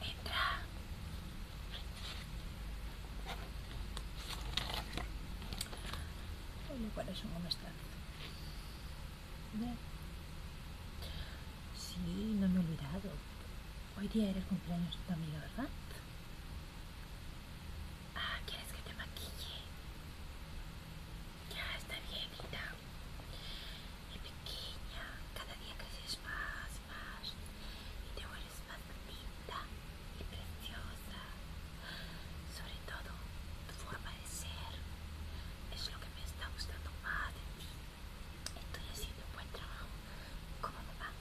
Entra. Olha, parece un home extraño. Sí, no me he olvidado. Hoy día era el cumpleaños de tu amiga, ¿verdad? Ah, ¿quieres que te maquille? Ya, está bien, Rita. Y pequeña, cada día creces más, más. Y te vuelves más linda y preciosa. Sobre todo, tu forma de ser es lo que me está gustando más de ti. Estoy haciendo un buen trabajo como mamá.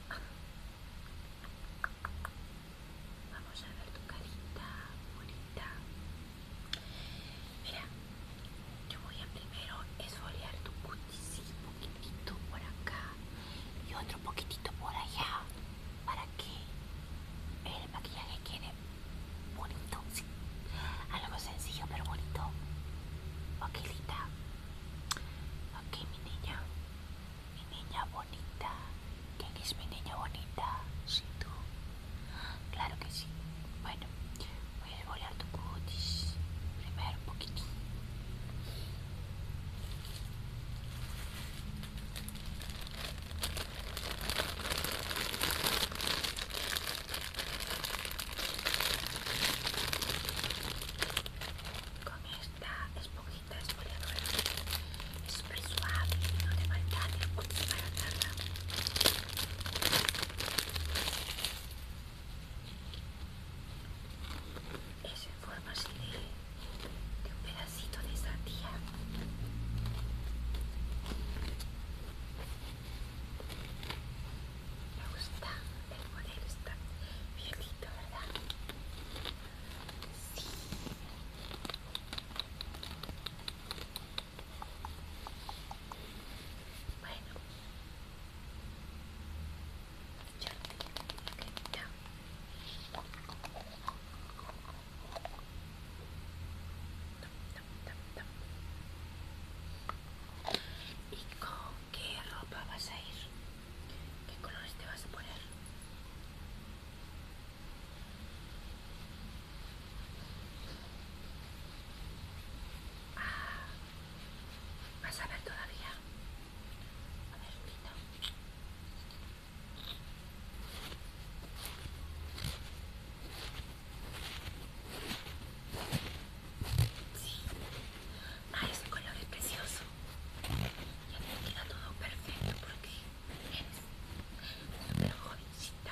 Vamos a ver tu carita bonita. Mira, yo voy a primero esfoliar tu cutis un poquitito por acá y otro poquitito por allá para que el maquillaje quede bonito, Algo sencillo pero bonito. Ok, Lita. Ok, mi niña. Mi niña bonita. ¿Quién es mi niña bonita? Sí, tú. Claro que sí. Bueno, voy a volar tu cutis. Primero un poquitín. Con esta esponjita esfoliadora es suave y no te va a maltrate para nada. Es en forma así de, de un pedazo pedacito de sandía. Me gusta, el modelo está bien ¿verdad? Sí. Bueno. Ya, ya. ¿Y con qué ropa vas a ir? ¿Qué colores te vas a poner? Ah, vas a ver todavía. A ver, quito. Sí. es ah, ese color es precioso. Ya me queda todo perfecto porque eres mejor jovencita.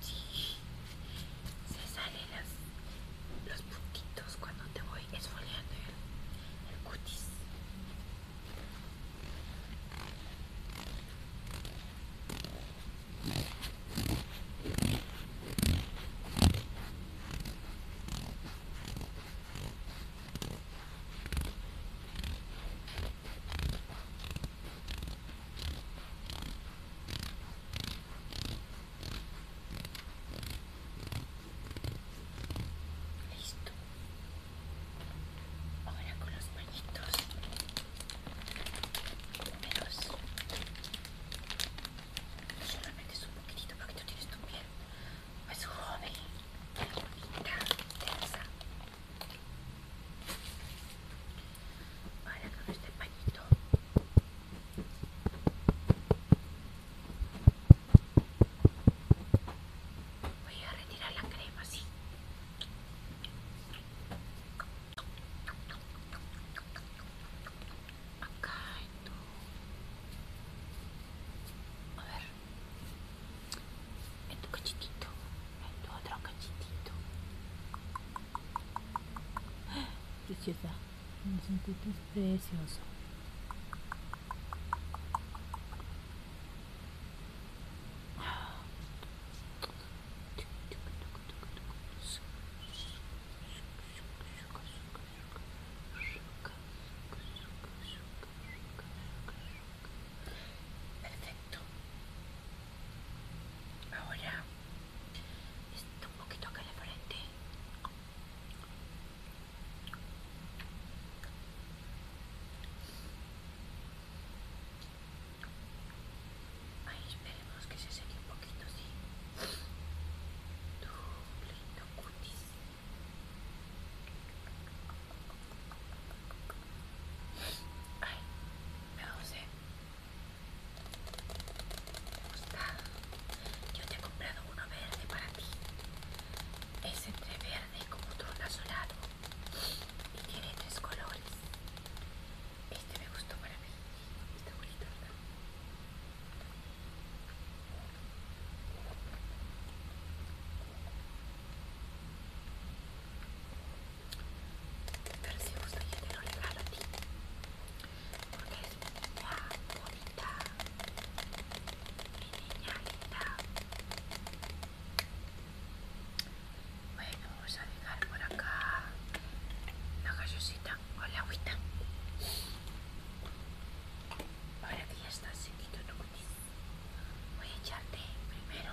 Sí, se salen los puntitos cuando te voy esfoliando el, cutis. Listo. Ahora con los pañitos primeros Solamente es un poquitito porque tú tienes tu piel. Es joven, bonita, tensa con este pañito. Voy a retirar la crema, sí. Acá en A ver. En este tu cachitito. En tu otro cachitito. Preciosa. Es precioso. Perfecto. Ahora está un poquito acá de frente. Ay, esperemos que se seque un poquito, sí. Tu lindo cutis. Ay, me doce. ¿Te gusta? Yo te he comprado uno verde para ti. Es entre verde como turno azulado y tiene tres colores. Este me gustó para mí. Está bonito, ¿verdad? pero si yo te lo regalo a ti porque es mi niña bonita mi niña linda bueno vamos a dejar por acá la gallosita o la agüita ahora que ya está que no voy a echarte primero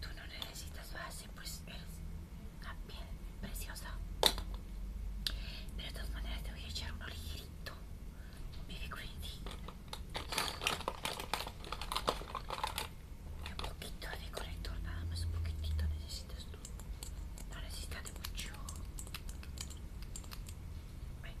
tú no necesitas base, pues eres una piel preciosa. Pero de todas maneras te voy a echar un un baby Green Un poquito de corrector, nada más un poquitito necesitas tú. No necesitas de mucho. Bueno.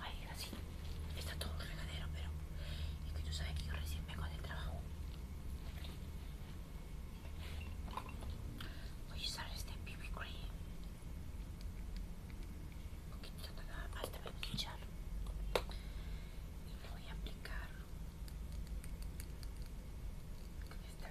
Ay, así. Está todo regadero, pero es que tú sabes que yo recién vengo de trabajo. Este voy a usar este BB cream. Un poquito nada más te pincharlo. Y voy a aplicarlo. con esta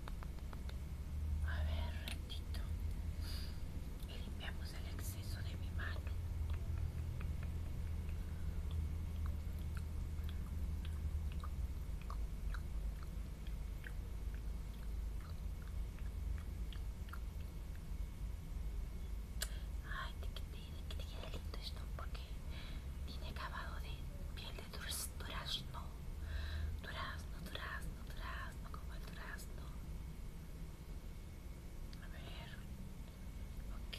A ver, ratito. Limpiamos el exceso de mi mano. Ay, te quedé lindo esto porque tiene acabado de piel de ¿no? durazno, durazno, durazno, como el durazno. A ver, ok.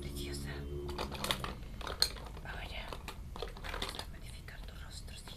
Preciosa. Ahora vamos a magnificar tu rostro, sí.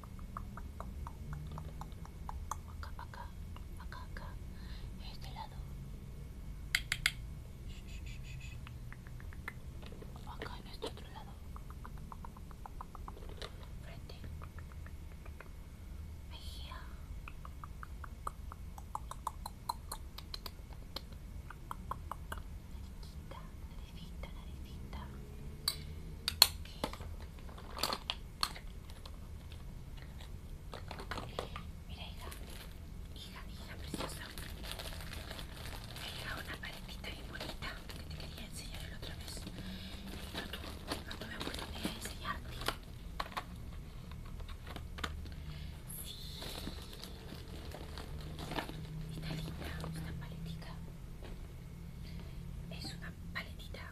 acá, acá, acá, acá, en este lado, acá en este otro lado, frente, mejilla, naricita, naricita, naricita, Mira, hija, hija, hija preciosa. Me una paletita bien bonita que te quería enseñar el otra vez. Y no tuve, me tuve a enseñarte. Sí. Está linda una paletita. Es una paletita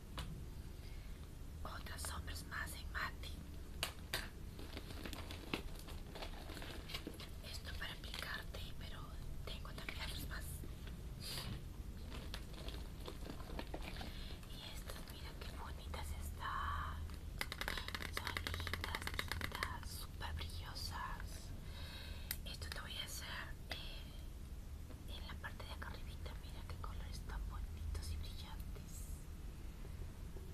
Otras sombras más en mate. Esto para aplicarte, pero tengo también otras más. Y estas, mira que bonitas están. Son lindas, lindas, súper brillosas. Esto te voy a hacer eh, en la parte de acá arribita. Mira que colores tan bonitos y brillantes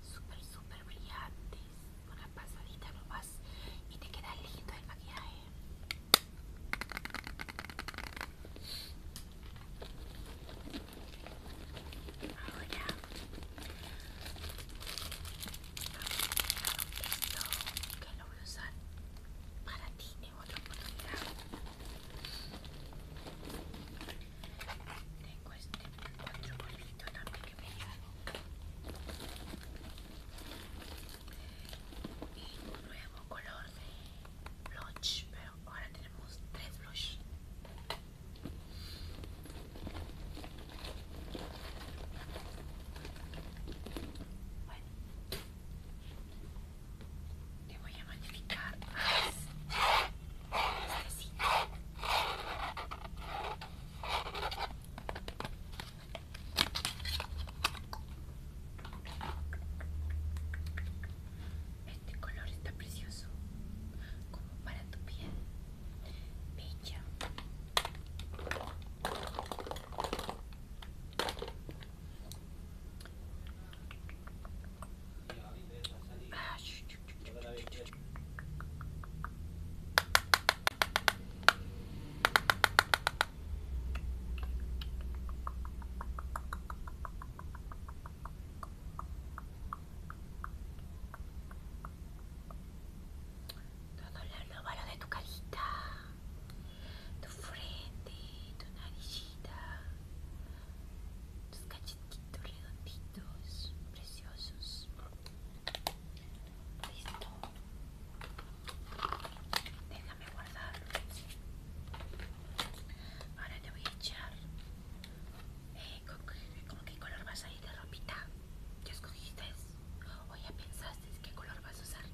súper súper brillantes una pasadita nomás y te queda lindo el maquillaje ahora esto que lo voy a usar para ti en otra oportunidad tengo este otro polvito también que me ha Y un nuevo color de blush, pero ahora tenemos tres blush. Bueno, te voy a magnificar. Este color está precioso, como para tu piel, bella. Todo los óvalo de tu carita, tu frente, tu naricita, tus cachetitos redonditos, preciosos. Listo. Déjame guardar. Ahora te voy a echar. Eh, que color vas a ir de ropita? ¿Ya escogiste? ¿O ya pensaste qué color vas a usar?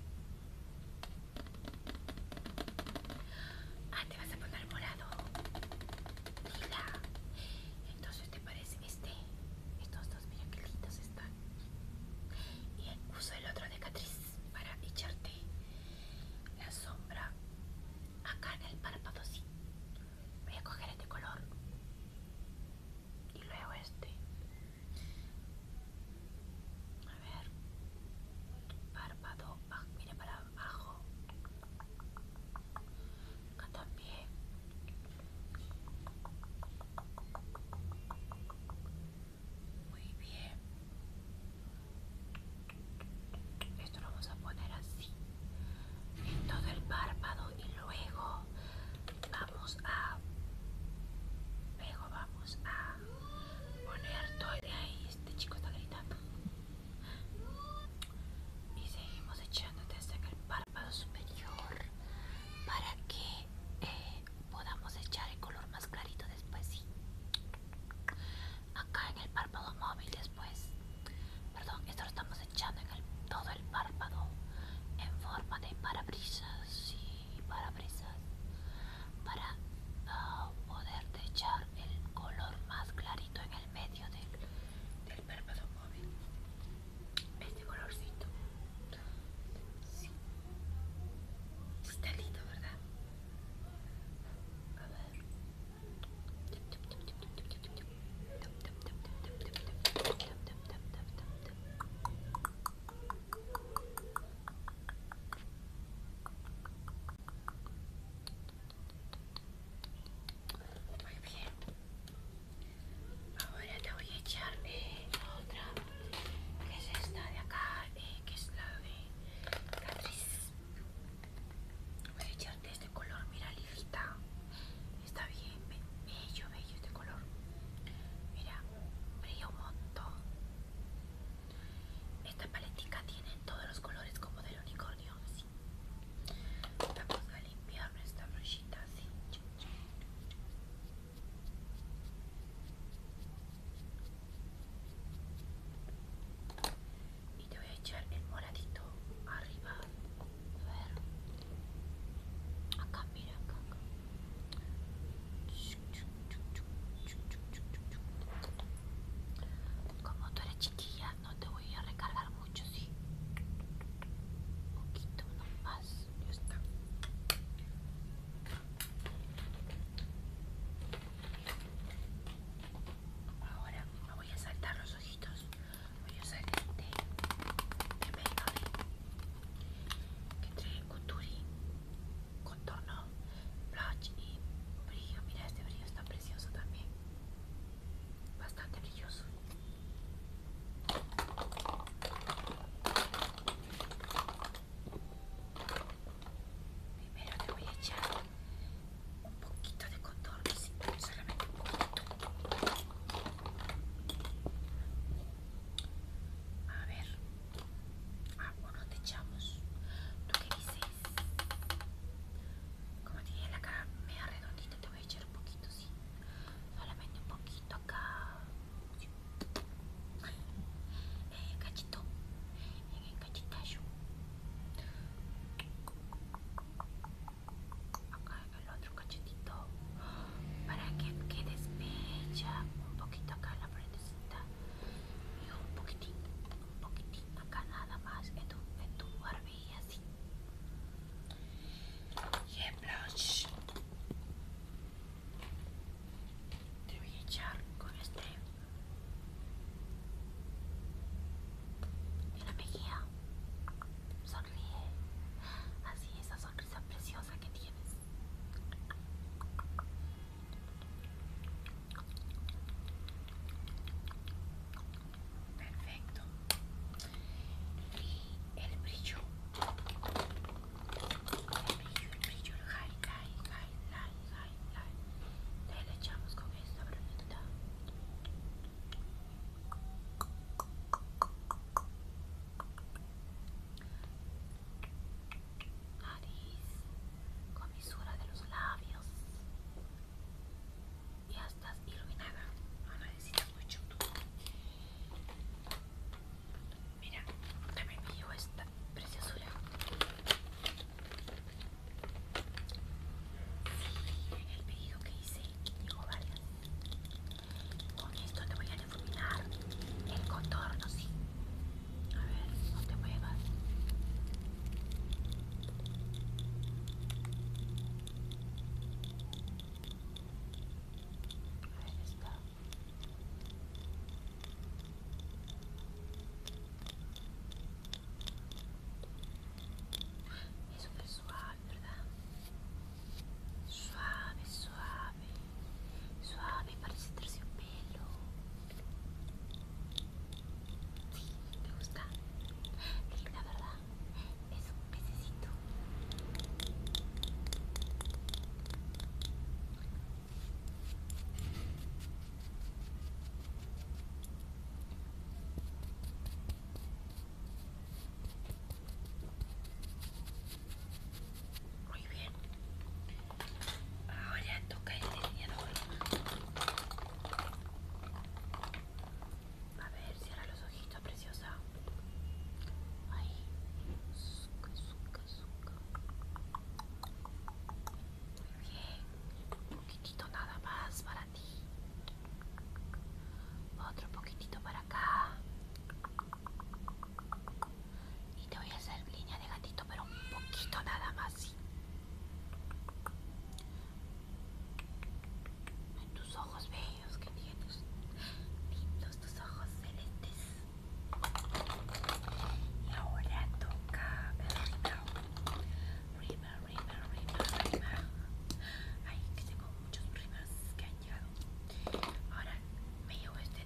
Ah, te vas a poner morado. Mira. Entonces te parece este. Estos dos, mira qué lindos están. Y uso el otro de Catriz para echarte la sombra acá en el párpado, sí. Voy a coger este color. Y luego este. A ver. Párpado. mire para abajo. Acá también. Muy bien. Esto lo vamos a poner así. En todo el párpado y luego vamos a... Luego vamos a poner todo de ahí. Este chico está gritando. Y seguimos echándote hasta en el párpado superior para que eh, podamos echar el color más clarito después, sí. Acá en el párpado móvil después. Perdón, esto lo estamos echando en todo el párpado en forma de parabrisas, y parabrisas para poder poderte echar el color más clarito en el medio del, del párpado móvil este colorcito está lindo verdad a ver muy bien. Ahora te voy a echar eh, otra, que es esta de acá, eh, que es la de Catrice. Voy a echarte este color, mira, lista. Está bien, bello, bello este color. Mira, brilla un montón. Esta paletica tiene todos los colores como del unicornio. Así. Vamos a limpiar nuestra brochita así. Y te voy a echar el moradito arriba. A ver. Acá, mira, acá. Como tú eres chiquilla, no te voy a recargar mucho, sí. Un poquito, más. Ya está. Ahora me voy a saltar los ojitos. Voy a usar este de Maybelline que trae kuturi contorno blush y brillo mira este brillo está precioso también bastante brilloso primero te voy a echar un poquito de contorno sí, solamente un poquito a ver Ah, bueno, te echamos. ¿Tú qué dices? Como tiene la cara media redondita, te voy a echar un poquito, sí. Solamente un poquito acá. En el eh, cachito. En eh, el cachito Acá en el otro cachetito. Para que quedes Un poquito acá la frente y un poquitín, un poquitín acá nada más en tu, en y así y blush te voy a echar con este en la mejilla sonríe así esa sonrisa preciosa que tienes Perfecto. Y el brillo. El brillo, el brillo, el con esta nariz, comisura de los labios ya estás iluminada no necesitas mucho mira también me llevo esta preciosura en el pedido que hice llegó varias con esto te voy a el contorno, sí. A ver, no te muevas. Eso Es suave, ¿verdad? Suave, suave suave, parece terciopelo. Sí, me gusta. linda, ¿verdad? Es un pececito. Muy bien. Ahora toca el delineador. A ver, cierra los ojitos, preciosa. Ahí. Suca, suca, suca. Muy bien. Un poquitito nada más para ti. Otro poquitito para acá. Y te voy a hacer línea de gatito, pero un poquito nada más, En tus ojos bellos que tienes. Lindos tus ojos celestes. Y ahora toca el rima, rima, rima, rima. Ay, que tengo muchos rimas que han llegado. Ahora me llevo este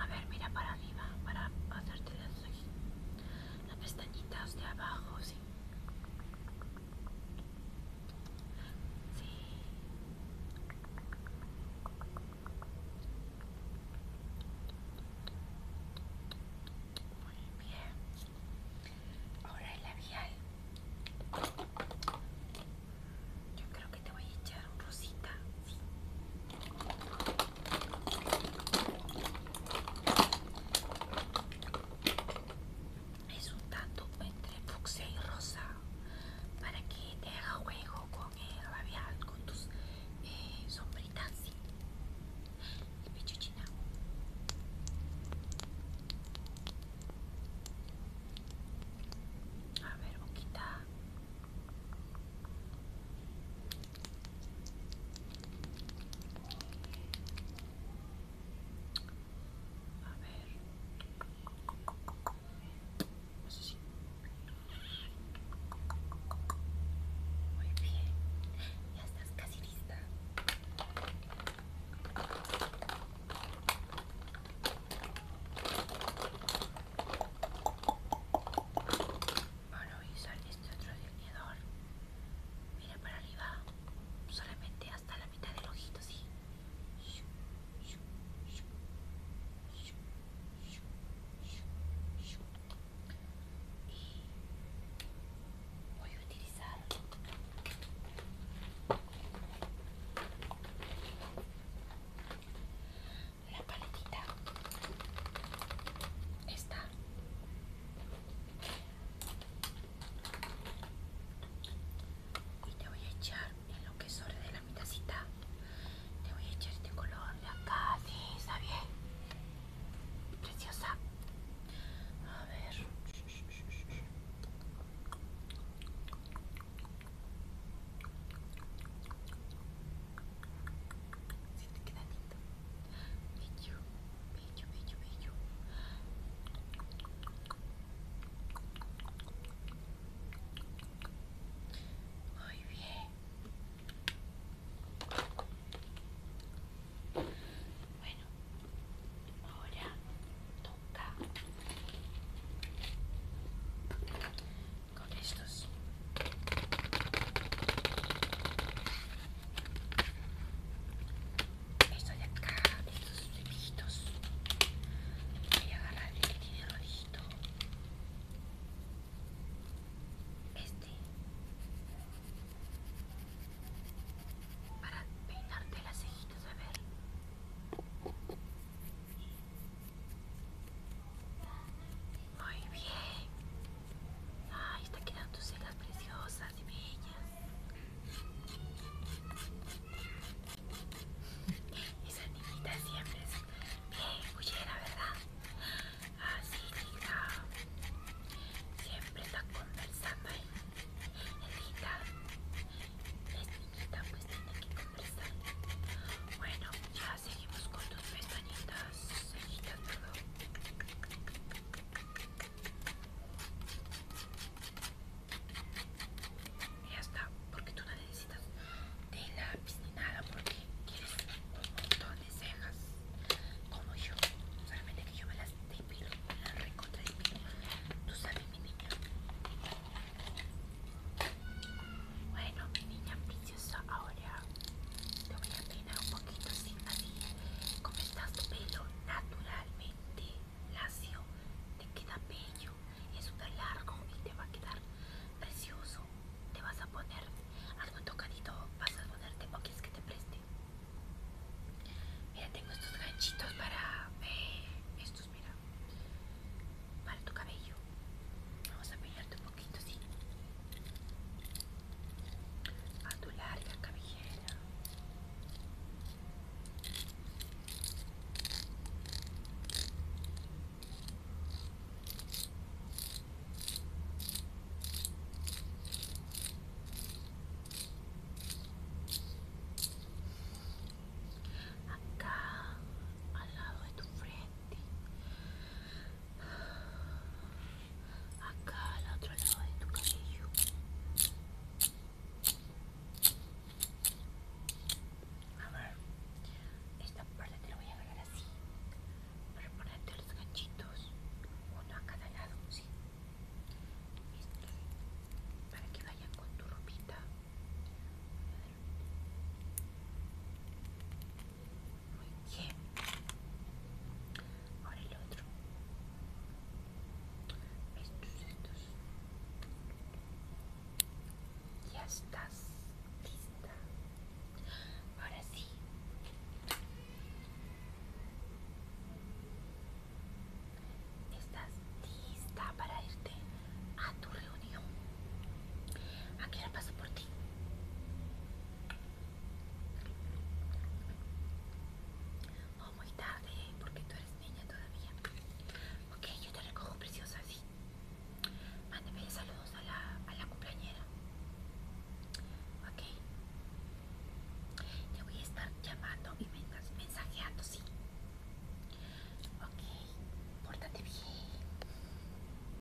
A ver, mira para arriba para hacerte las, las pestañitas de abajo, muy bien. Ahora el labial. Yo creo que te voy a echar un rosita. Sí es un tanto entre fucsia y rosa para que te haga juego con el labial con tus eh, sombritas Y y pechuchina a ver boquita a ver. así Muy bien. Ya estás casi lista. Bueno, y sale este otro delineador. Mira para arriba, solamente hasta la mitad del ojito, sí. Y voy a utilizar la paletita esta y te voy a echar en lo que sobre de la mitacita te voy a echar este color de acá sí está bien preciosa a ver te queda lindo bello, bello, Muy bien. Bueno, ahora toca con estos. Esto de acá, estos flequitos. Voy a agarrar el que tiene rojito. Este. Para peinarte las cejitas, a ver. Muy bien. Ay, está quedando tus cejas preciosas y bellas. Esa niñita siempre es bien bullera, ¿verdad? Así, ah, linda. Siempre está conversando ahí. Linda. Es niñita, pues tiene que conversar. Bueno, ya seguimos con tus pestañitas ya está, porque tú no necesitas de la ni nada, porque quieres un montón de cejas como yo. Solamente que yo me las depilo, me las recontra Tú sabes, mi niña. Bueno, mi niña, Ahora te voy a peinar un poquito así, así como estás tu pelo naturalmente lacio. Te queda bello, es súper largo y te va a quedar precioso. Te vas a poner algo tocadito, vas a ponerte o que te preste. Mira, tengo estos ganchitos para eh, estos, mira, para tu cabello. Vamos a peinarte un poquito así a tu larga cabellera acá al lado de tu frente acá al otro lado de tu cabello a esta parte te la voy a agarrar así para ponerte los ganchitos uno a cada lado este, para que vayan con tu ropita muy bien. Ahora el otro. Estos, estos. Ya estás lista. Ahora sí. ¿Estás lista para irte a tu reunión? aquí qué hora paso por ti? O oh, muy tarde, porque tú eres niña todavía. Ok, yo te recojo preciosa, sí. Mándeme saludos a la, a la cumpleañera. Ok. Te voy a estar llamando y mensajeando, sí. Ok, pórtate bien.